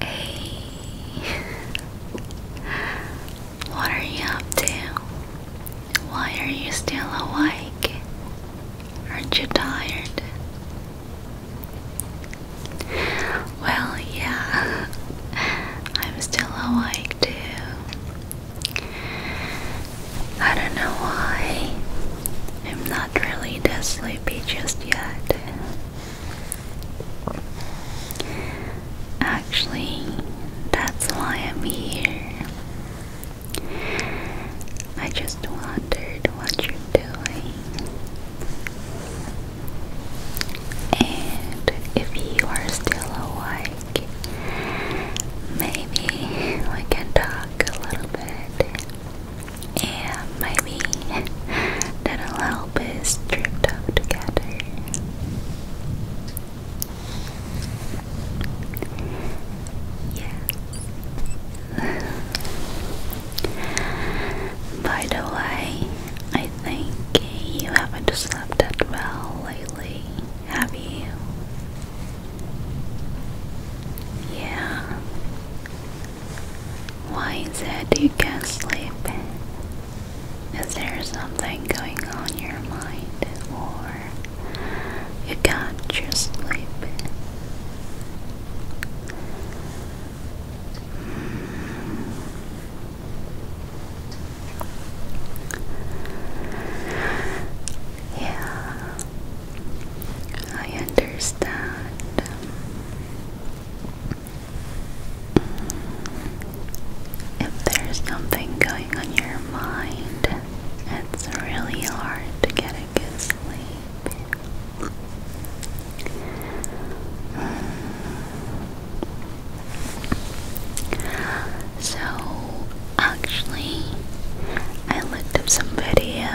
Hey, what are you up to? Why are you still awake? Aren't you tired? Well, yeah, I'm still awake too. I don't know why. I'm not really that sleepy just yet. Actually, that's why I'm here. I just wondered what you're doing. And if you are still awake, maybe we can talk a little bit and maybe that'll help us drift off together. Yes. By the way, I think you haven't slept that well lately, have you? Yeah, why is it you can't sleep? Is there something going on in your mind or you can't just sleep? Hmm. Yeah, I understand. If there's something going on your mind, it's really hard to get a good sleep. So, actually, I looked up some video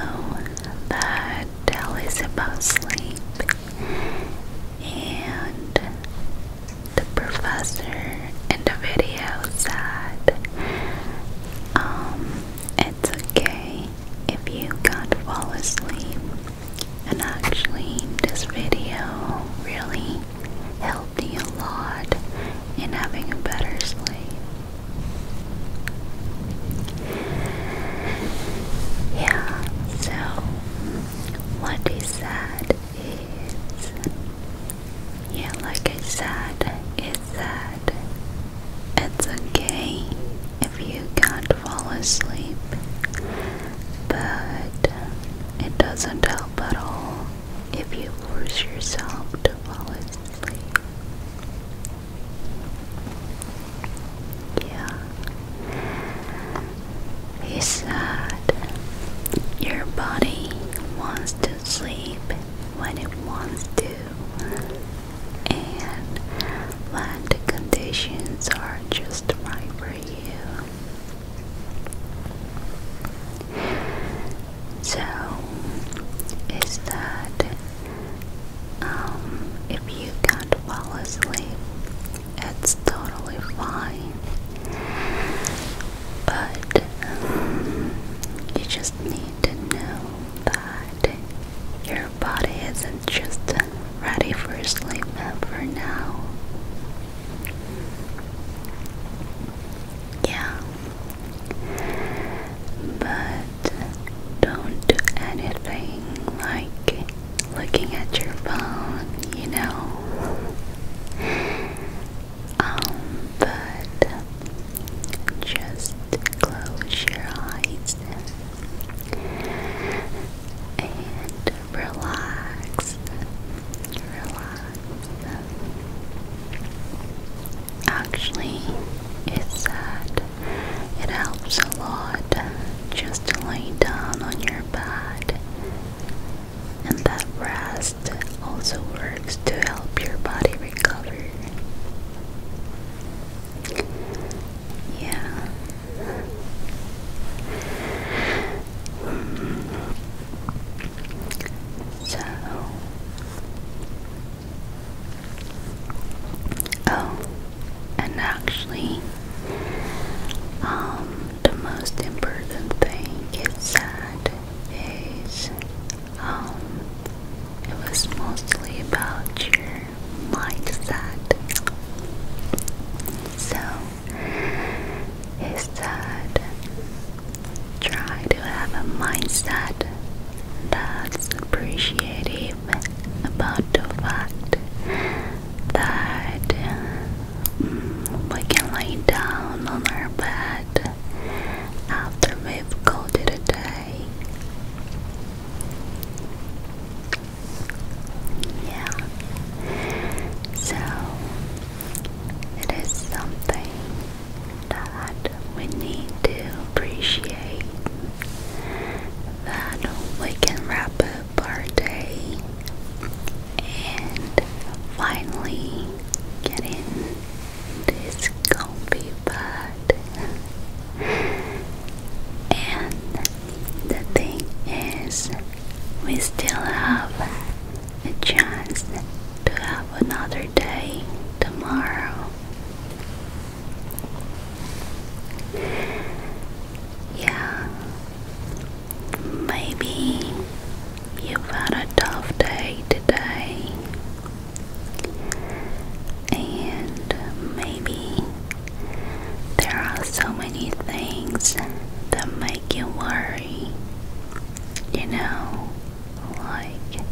that tell us about sleep. And the professor in the video said, um, it's okay if you can't fall asleep. And actually, this video really helped me a lot in having a better sleep. Yeah, so what is sad is, yeah, like I said, it's that it's okay if you can't fall asleep, but it doesn't help at all if you force yourself to fall asleep. Yeah. He said, Your body wants to sleep when it wants to, and the conditions are just right for you. So, is that um, if you can't fall asleep, it's totally fine. But um, you just need to know that your body isn't just ready for sleep ever now. Yeah. But don't do anything like looking at your phone, you know. Um, but just close your eyes and relax. Relax. Actually, it's sad it helps a lot just to lay down on your bed. And that rest also works to help your body recover. Yeah. So, Oh, and actually, um, the most important thing is that is, um, it was mostly about your mindset. So, is that try to have a mindset that's appreciative about the fact that mm, we can lie down on our bed after we've coded a day. Yeah. So it is something that we need to appreciate that we can wrap up our day and finally get in this comfy bed. And the thing is, we still have a chance to have another day tomorrow. Yeah, maybe you've had a tough day today, and maybe there are so many things that make you worry. You know, like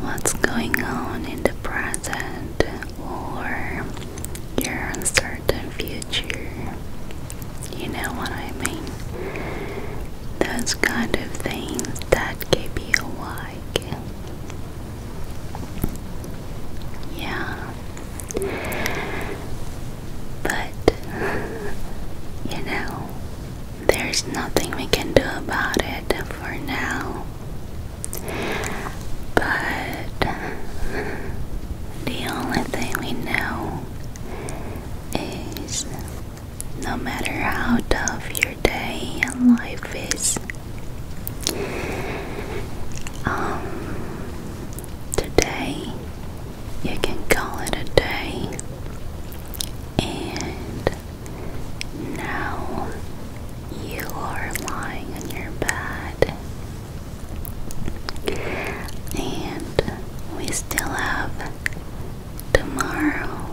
what's going on in the present, or your uncertain future. You know what I mean? Those kind of things that keep you awake. Yeah. But, you know, there's nothing we can do about it for now. But the only thing we know is no matter how tough your day and life is, um, today you can call it a day, and now you are lying in your bed, and we still have tomorrow.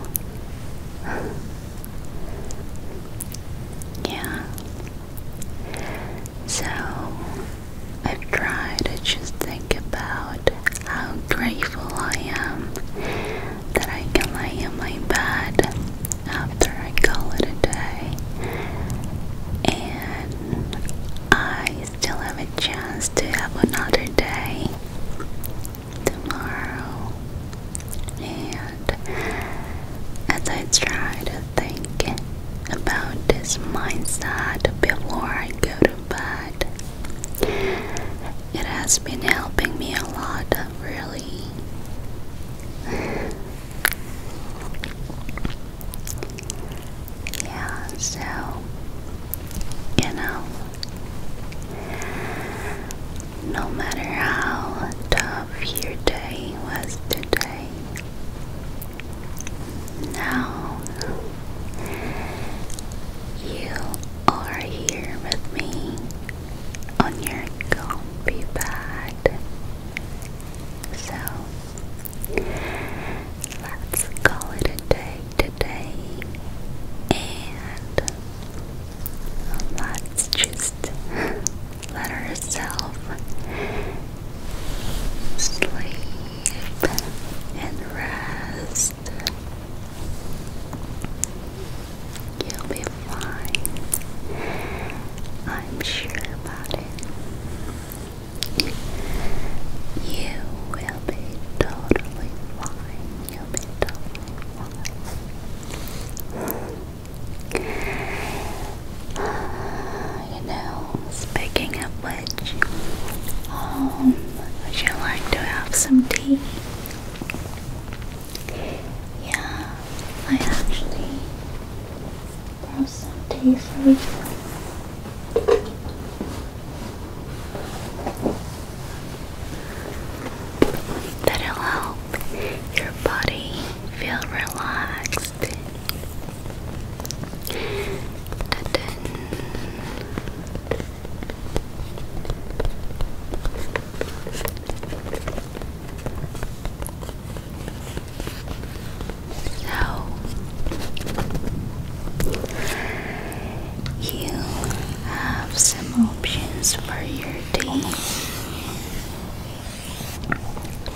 yeah. So I've to just think about how grateful I am that I can lay in my bed after I call it a day, and I still have a chance to have another day tomorrow. And as I try to think about this mindset before I go to bed, it has been helping me a lot, really. Yeah, so, you know, no matter how tough your day was today, now you are here with me on your comfy bed. So let's call it a day today and let's just let ourselves sleep and rest. You'll be fine. I'm sure about it. You will be totally fine. You'll be totally fine. You know, speaking of which, um, would you like to have some tea? Yeah, I actually brought some tea for you. That'll help your body feel relaxed. So you have some options for your day.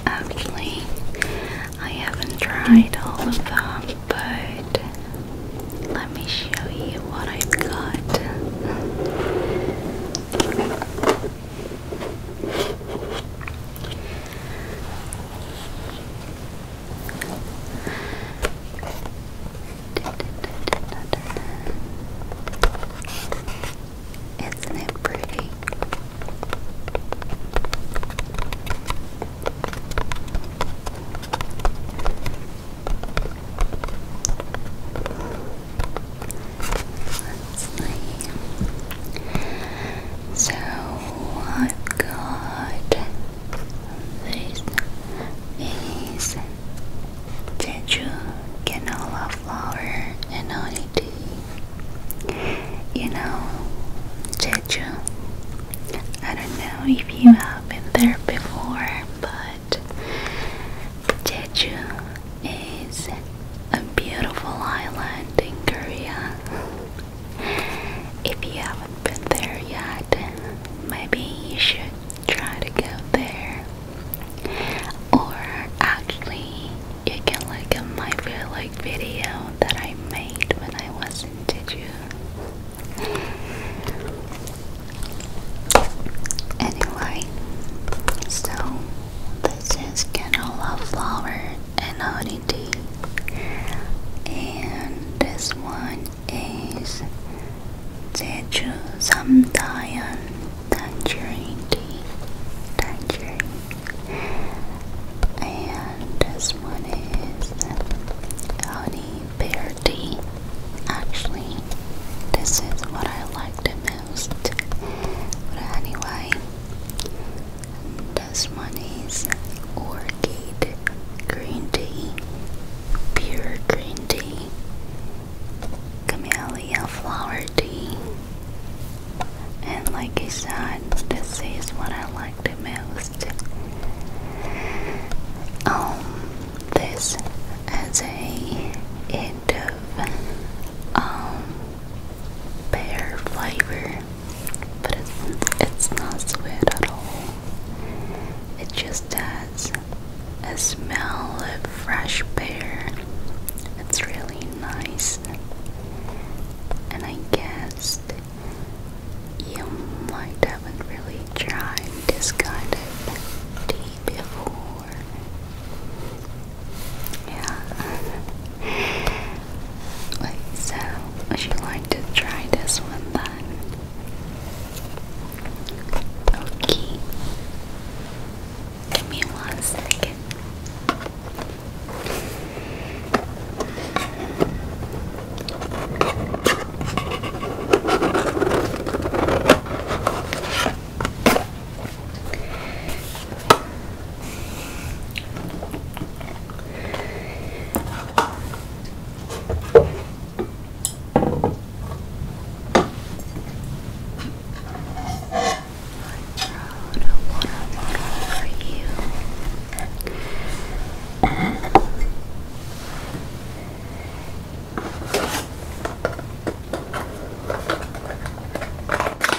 Actually, I haven't tried all of them, but let me show you what I've got. Isn't it pretty? Let's see. So I've got this is Jeju canola flour and honey tea. You know, Jeju. I don't know if you have been there before, but Jeju is a beautiful island in Korea. if you haven't been there yet, maybe you should try to go there. Or actually, you can look at my vlog video that I made when I was in Jeju. Anyway, so this is canola flower and honey tea. And this one is Jeju Samdayan tangerine tea. Tangerine. And this one is honey pear tea. Actually, this is what I like the but anyway, this one is Orchid Green Tea, Pure Green Tea, Camellia Flower Tea. And like I said, this is what I like the most. Um, this is a end of um pear flavor, but it's, it's not sweet at all. It just has a smell of fresh pear. It's really nice. And I guess you might haven't really tried this kind of tea before. Yeah. so would you like to try this one then? Okay. Give me one second. I brought a water bottle for you.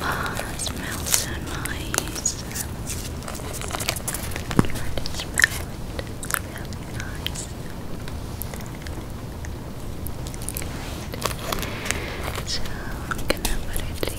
Ah, smells so nice. it. It's really nice. So I'm gonna put it here.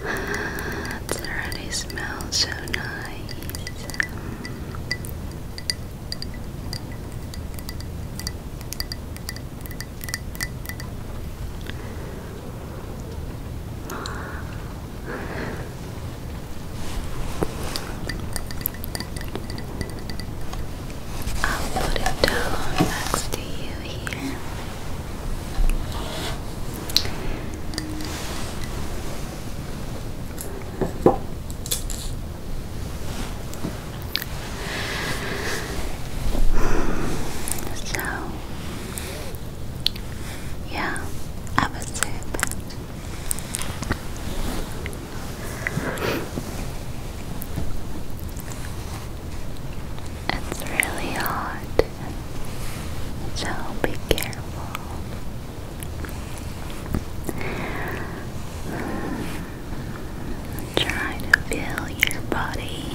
It already smells so nice. I'll put it down next to you here. So, yeah, I would say it's really hot, so be careful. Try to feel your body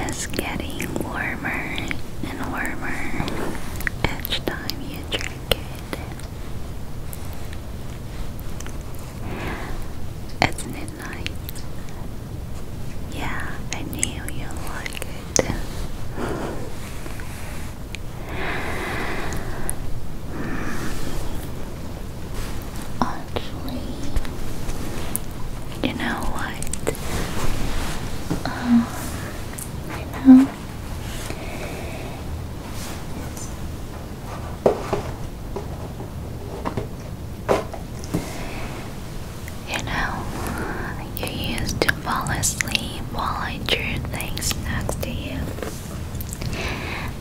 is getting warmer and warmer each time you drink it. Yeah, I knew you like it. Actually, you know what? Um, I know. You know, you used to fall asleep while I drew things next to you.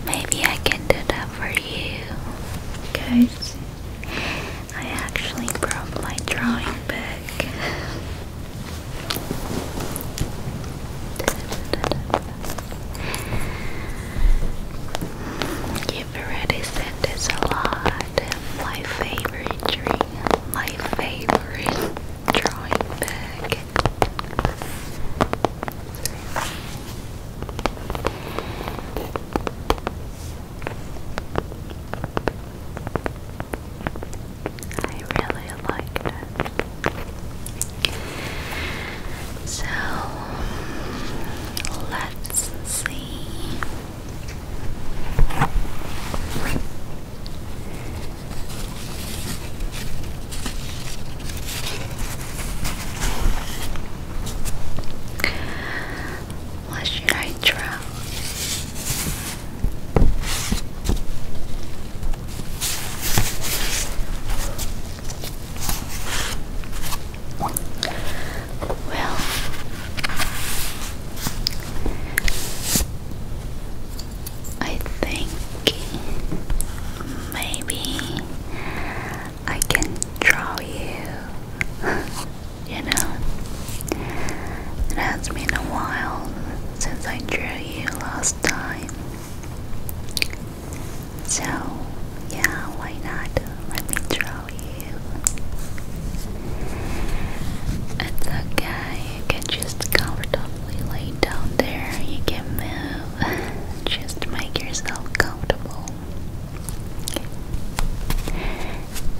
Maybe I can do that for you. Guys, I actually broke my drawing book i have already said this a lot. My favorite drink. my favorite drawing bag. I really like that. So let's see. What should I draw? Well, I think maybe I can draw you. you know, it has been a while since I drew you last time. So, yeah, why not? Let me draw it's okay, you can just comfortably lay down there, you can move, just make yourself comfortable.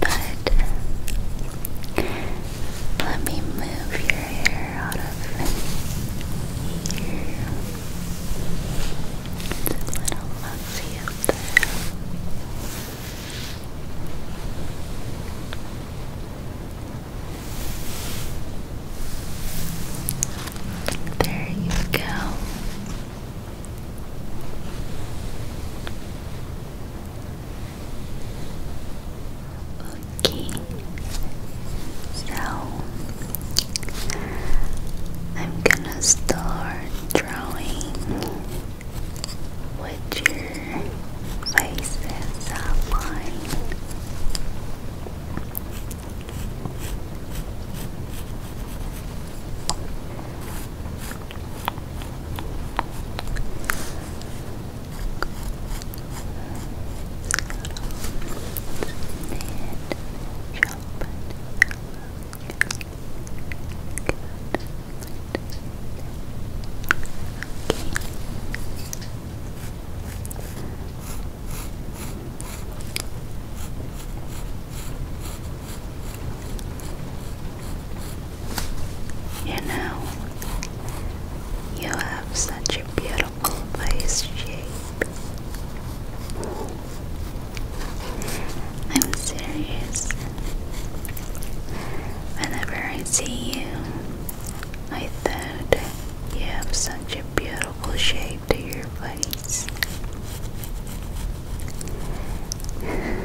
But let me move your hair out of here. It's a little box there you go. Okay, so I'm gonna start drawing with your faces outline. Sharpened yellow you know, you have such a beautiful face shape. I'm serious. Whenever I see you, I thought you have such a beautiful shape to your face. yeah,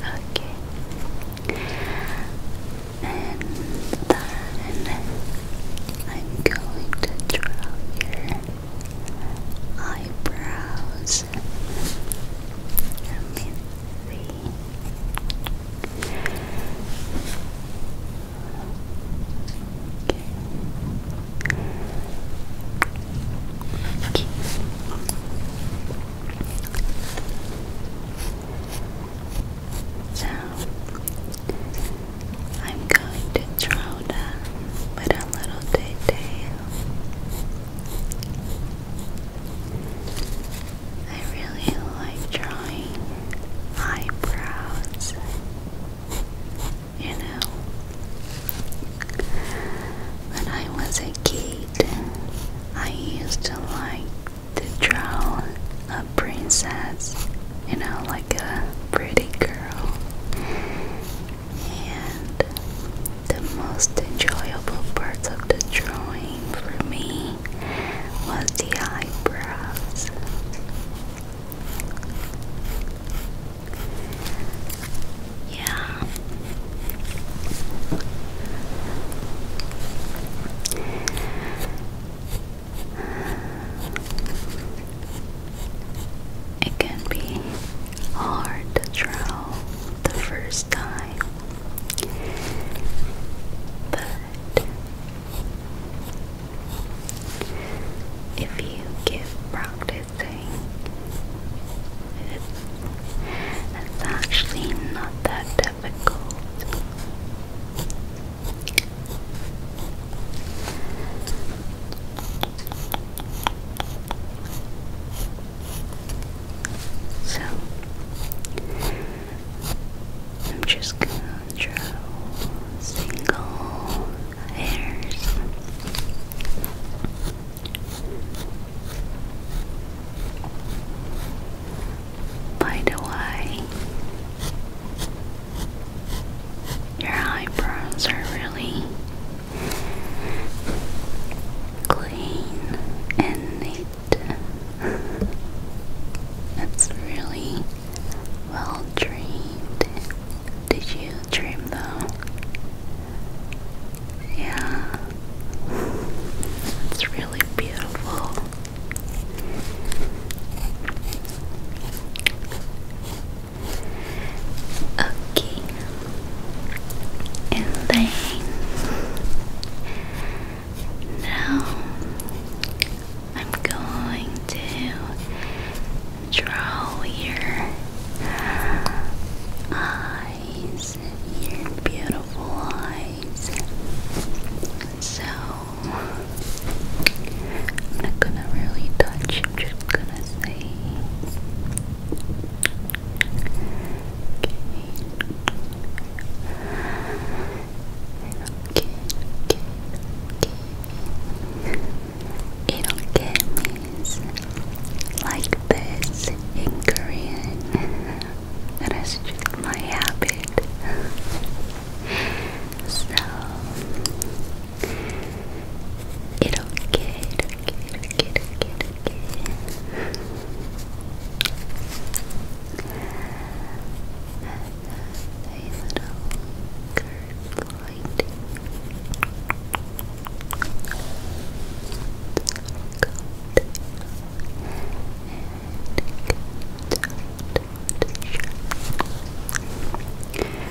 Okay. And then I'm going to draw your eyebrows. Let me see. So I'm going to draw them with a little detail. I really like drawing eyebrows, you know. When I was a kid, I used to like to draw a princess, you know, like a pretty girl. And the most enjoyable parts of the drawing for me was the eyebrows. Yeah. It can be hard to draw the first time, but if you keep practicing, it's, it's actually not that difficult. So I'm just gonna draw single hairs. By the way, your eyebrows are really clean and neat. It's really well trimmed. Did you trim though? Yeah, it's really beautiful. Okay. And then now I'm going to draw your eyes, your beautiful eyes. So I'm not gonna really touch, I'm just gonna It'll get me like this in Korean. That is just my habit. So It'll get, it'll get, it'll get, it'll get, it'll get. A little curved light. And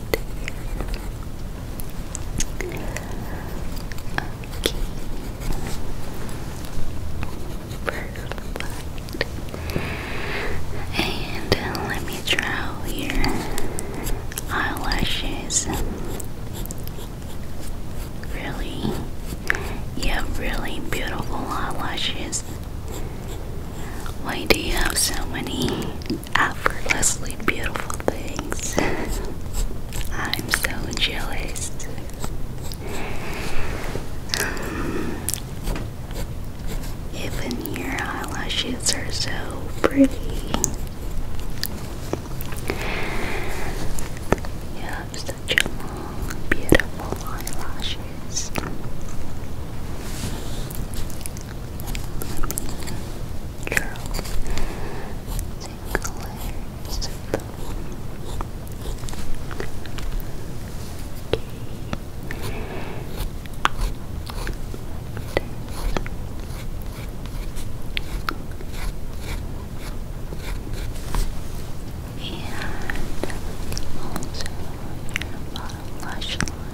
Okay. Perfect. And let me draw your eyelashes. Really, you have really beautiful eyelashes. Why do you have so many effortlessly beautiful things. I'm so jealous. Um, even your eyelashes are so pretty. You have such long, beautiful eyelashes. Charles Sinclair's and also your bottom lash line.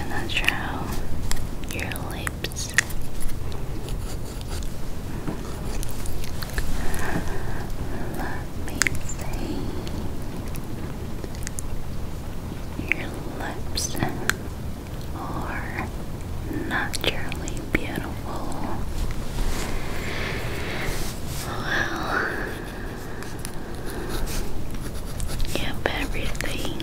I'm gonna draw your lips. Let me see. Your lips are naturally beautiful. Well, you have everything.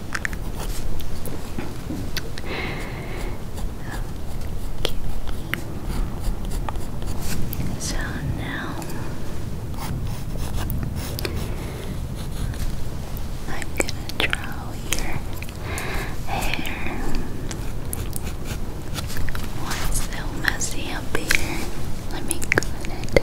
So now I'm gonna draw your hair. Why is so messy up here? Let me clean it.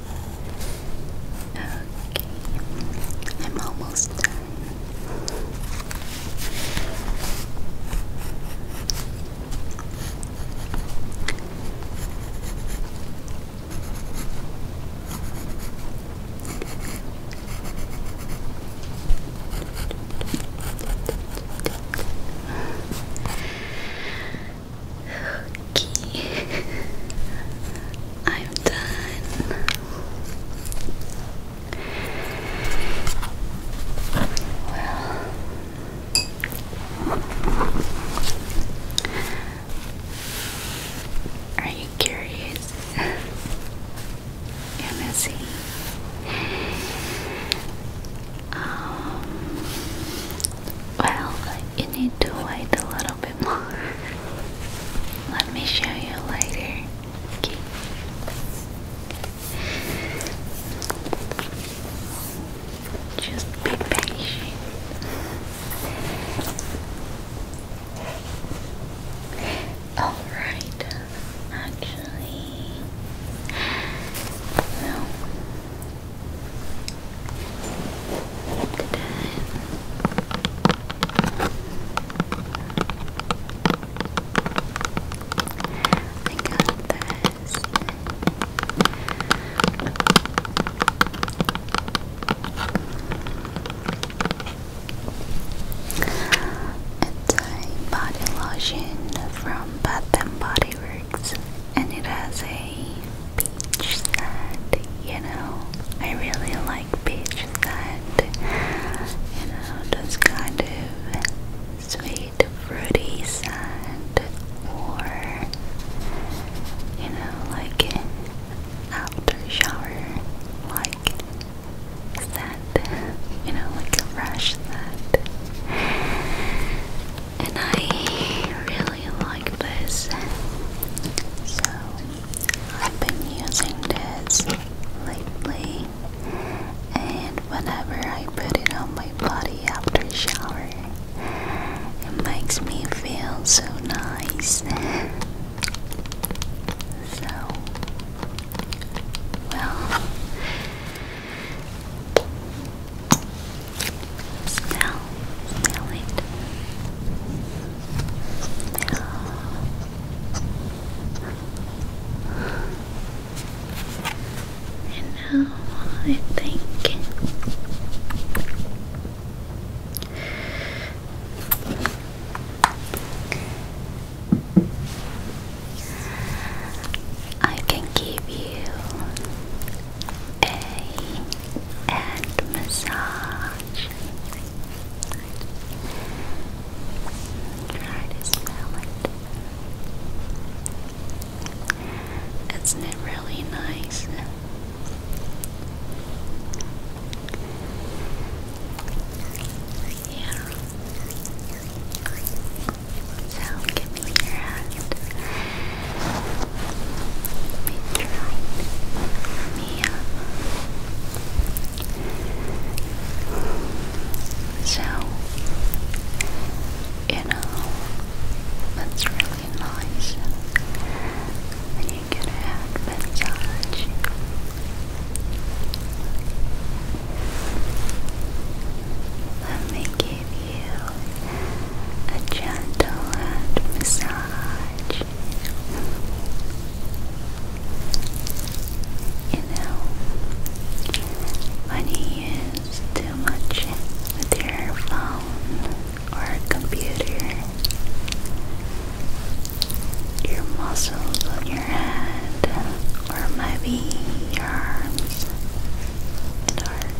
Okay, I'm almost done. Okay. I'm done. Well, are you curious? You're messy. Um, well, you need to wait a little bit. Let me show you later. Okay. Just be patient. Alright, actually, well, I got this. It's body lotion from Bath and Body Works and it has a beach sand, you know. I really like beach sand, you know, those kind of sweet, fruity sand, or you know, like after shower, like sand, you know, like a fresh sand. And I really really like this, so I've been using this lately, and whenever I put it on my body after a shower, it makes me feel so nice. So, well, Smell, smell it. And now I think. I can give you a and massage. Try to smell it. Isn't it really nice? Yeah. So give me your hand. Meteorite, Mia. So, you know, that's really nice when you get a head massage. Let me give you a gentle head massage. You know, when you use too much with your phone or computer, your muscles on your head, or maybe your arms and heart,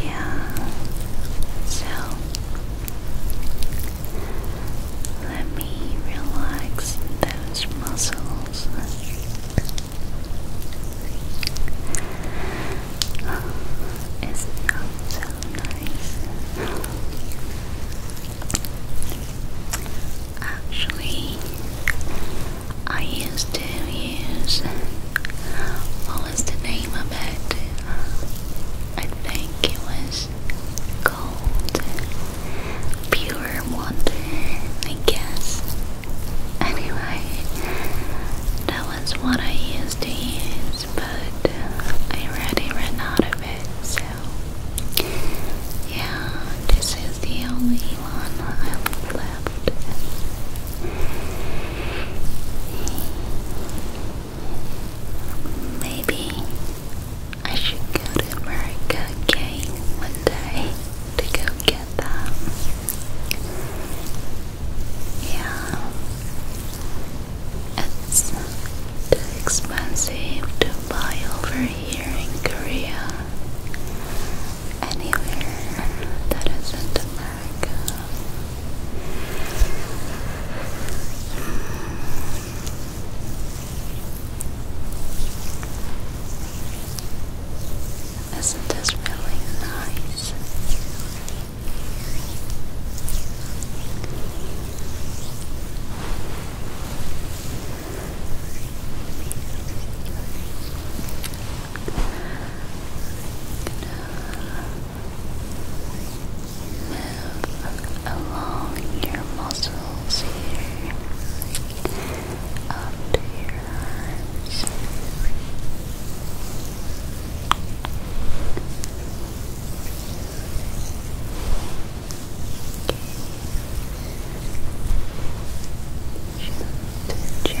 yeah. So let me relax those muscles. Oh, it's not so nice. Actually, I used to use what was the name of it? I think it was cold pure water, I guess. Anyway, that was what I used to use, but I already ran out of it, so yeah, this is the only one i have left. Maybe I should go to America one day to go get them. Yeah, it's too expensive to buy over here in Korea anywhere that isn't America. Isn't this really nice? Move along your muscles here, up to your arms just gently relax your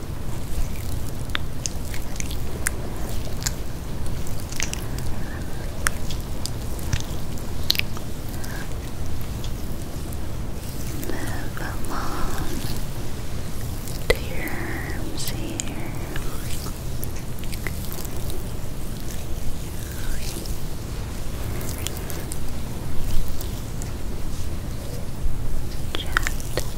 Move along to your arms here. Just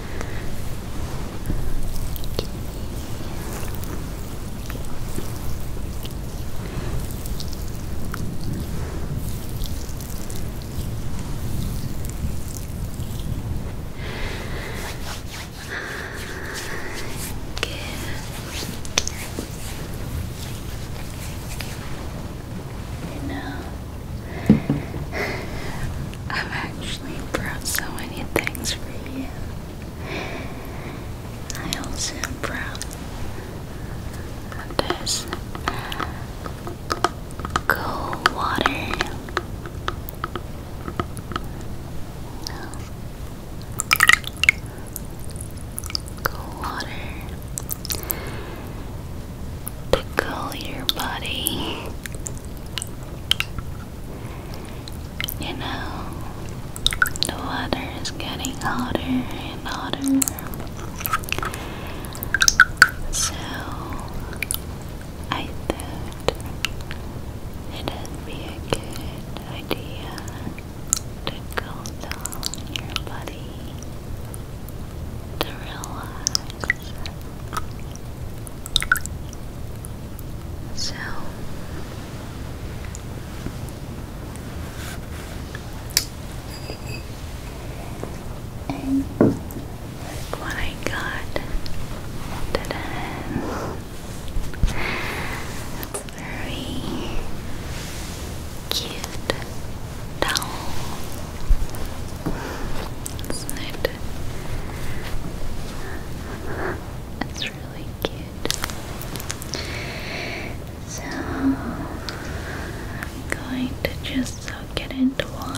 Good. And now I've actually brought so many things for you. I also brought this cold water. No. Cool water to cool your body you know, the water is getting hotter and hotter. So, I thought it'd be a good idea to cool down your body, to relax. So and look what I got Ta-da! Very cute towel isn't it? really cute. So I'm going to just soak it into water.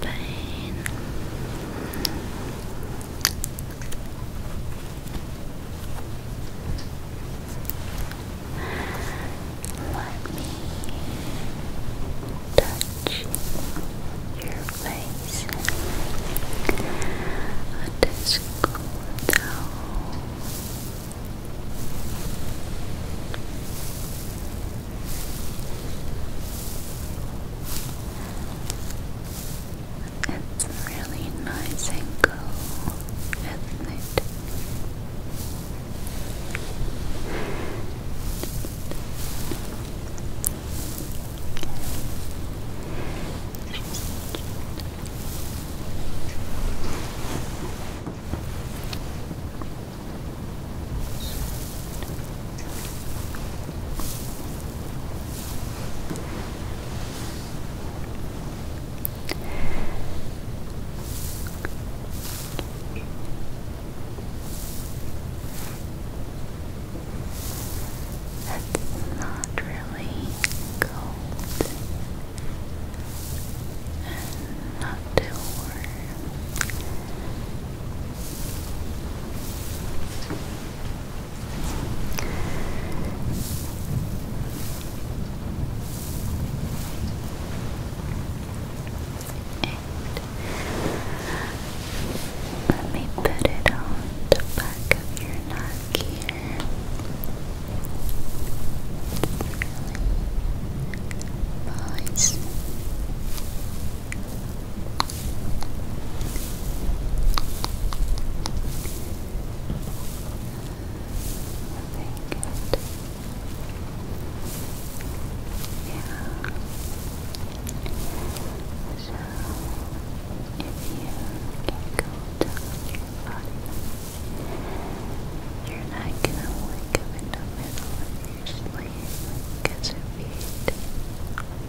pain. Let me touch your face. It is it's really nice and cool, isn't that's not really cold and not too warm let me put it on the back of your neck here you're not gonna wake up in the middle of your sleep because of it. Uh,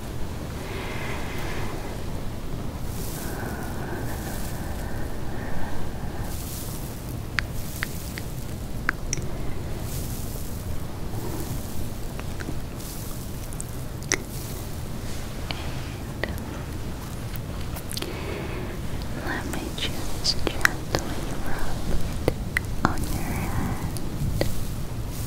And let me just gently rub on your hand.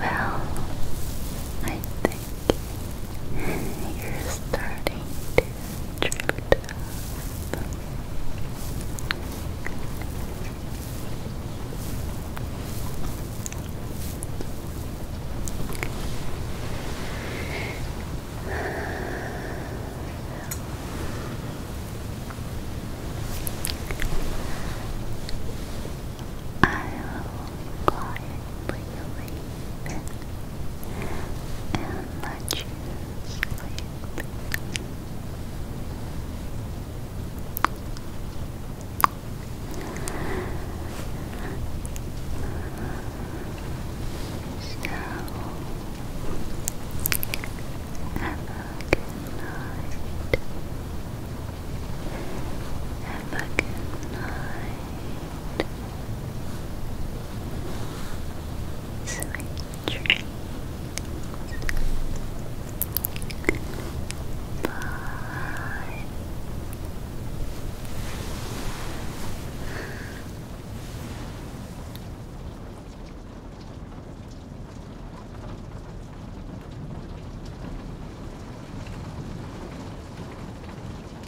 Well, I think you're starting to drift I will quietly sleep and let you sleep. So, have a good night. Have a good night. Sweet dreams. Bye.